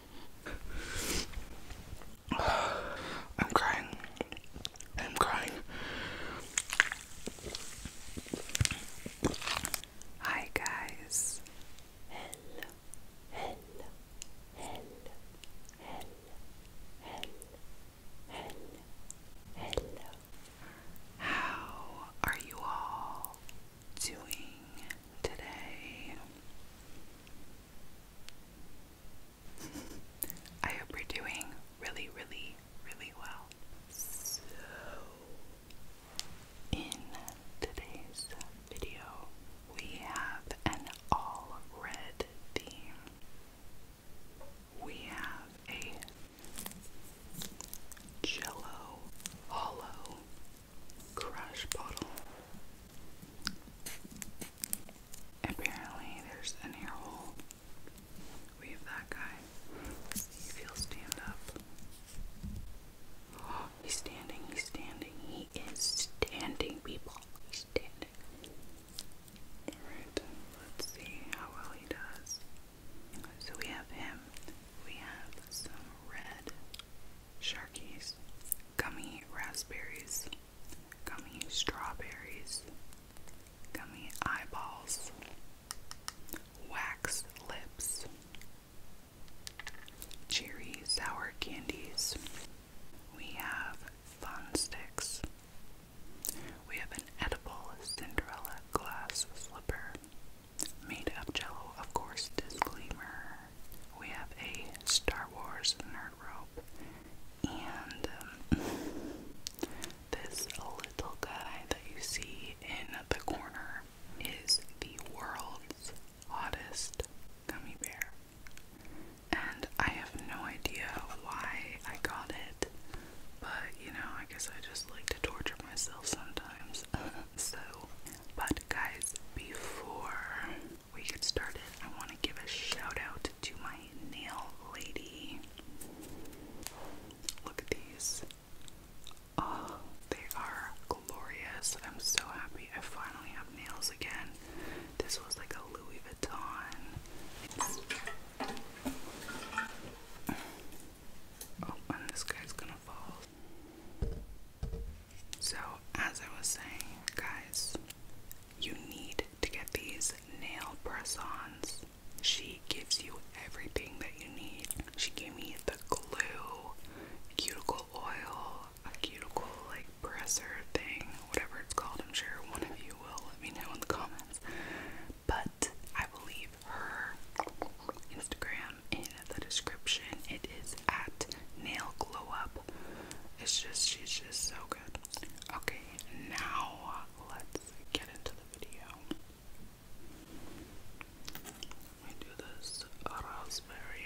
I'm crying. I'm crying. Hi, guys. Hello, hello, hello, hello, How are you all doing today? I hope you're doing really, really, really well. So, in today's video, we have an all red theme. We have a Jello Hollow Crush Bottle. Apparently, there's an air hole. We have that guy. He'll stand up. he's standing, he's standing, he is standing, people. He's standing. Alright, let's see how well he does. So we have him. We have some red sharkies, gummy raspberries, gummy strawberries, gummy eyeballs, wax lips, cherry sour candies. We have fun sticks. We have an edible Cinderella glass slipper made of jello, of course, disclaimer we have a Star Wars nerd rope, and um, this little guy that you see in the corner is the world's oddest gummy bear. And I have no idea why I got it, but you know, I guess I just like to torture myself sometimes. so, but guys, before we get started, I want to give a shout out to my nail lady. Look at these. Oh, they are glorious. I'm so happy I finally have nails again. This was like a Louis Vuitton. Oh, and this guy's gonna fall. So, as I was saying, guys, you need to get these nail press ons. She gives you everything that you need. She gave me the glue, cuticle oil, a cuticle like presser thing, whatever it's called. I'm sure one of you will let me know in the comments. But I will leave her Instagram in the description. It is at Nail Glow Up. It's just, she's just so good. Okay, now let's get into the video. Let me do this raspberry.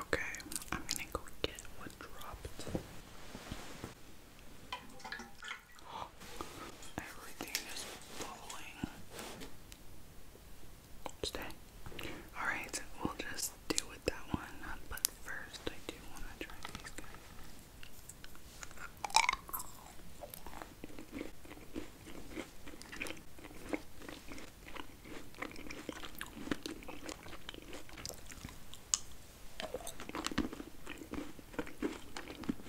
Okay, I'm gonna go get what dropped. Everything is Stay. Alright, we'll just deal with that one. But first, I do want to try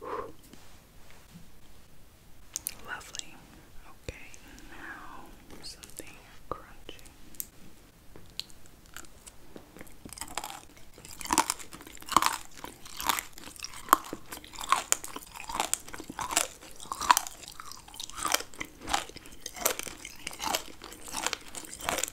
Whew. Lovely. Okay, now something crunchy.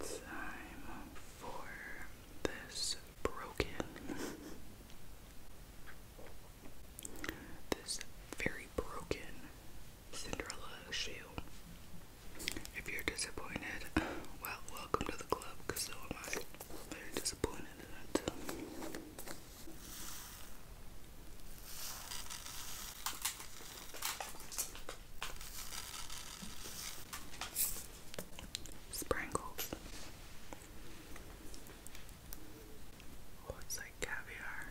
time for this broken, this very broken Cinderella shoe. If you're disappointed, well, welcome to the club, so am I. Very disappointed Sprinkles. Oh, like caviar.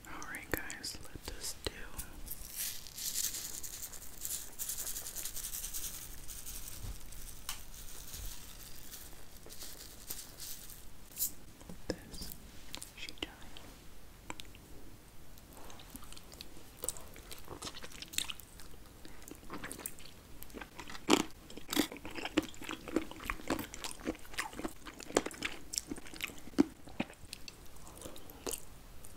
Alright, guys, let us do. This she died.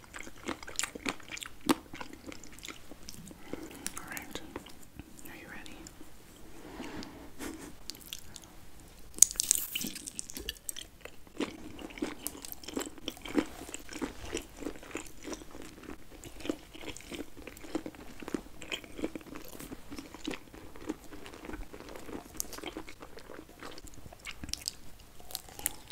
All right. Are you ready?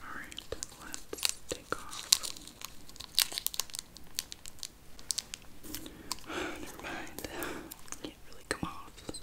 Alright, let's take off. Never mind. Can't really come off, so.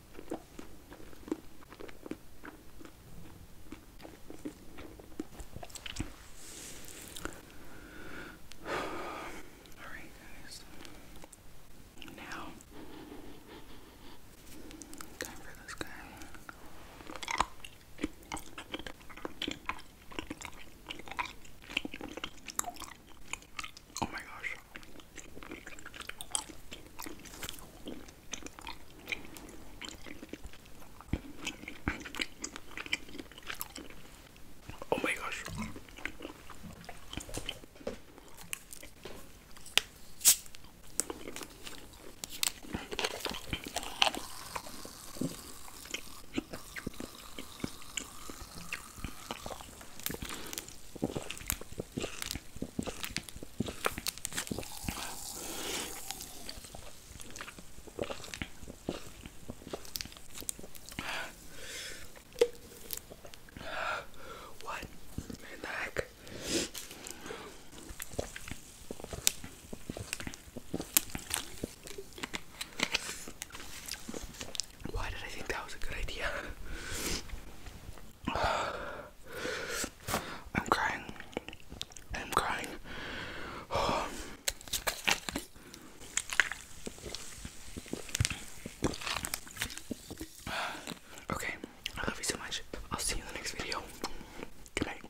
Alright, guys. Now, time for this guy. Oh my gosh. Oh my gosh. What in the heck? Why did I think that was a good idea? I'm crying. I'm crying. Okay, I love you so much. I'll see you in the next video. Good night.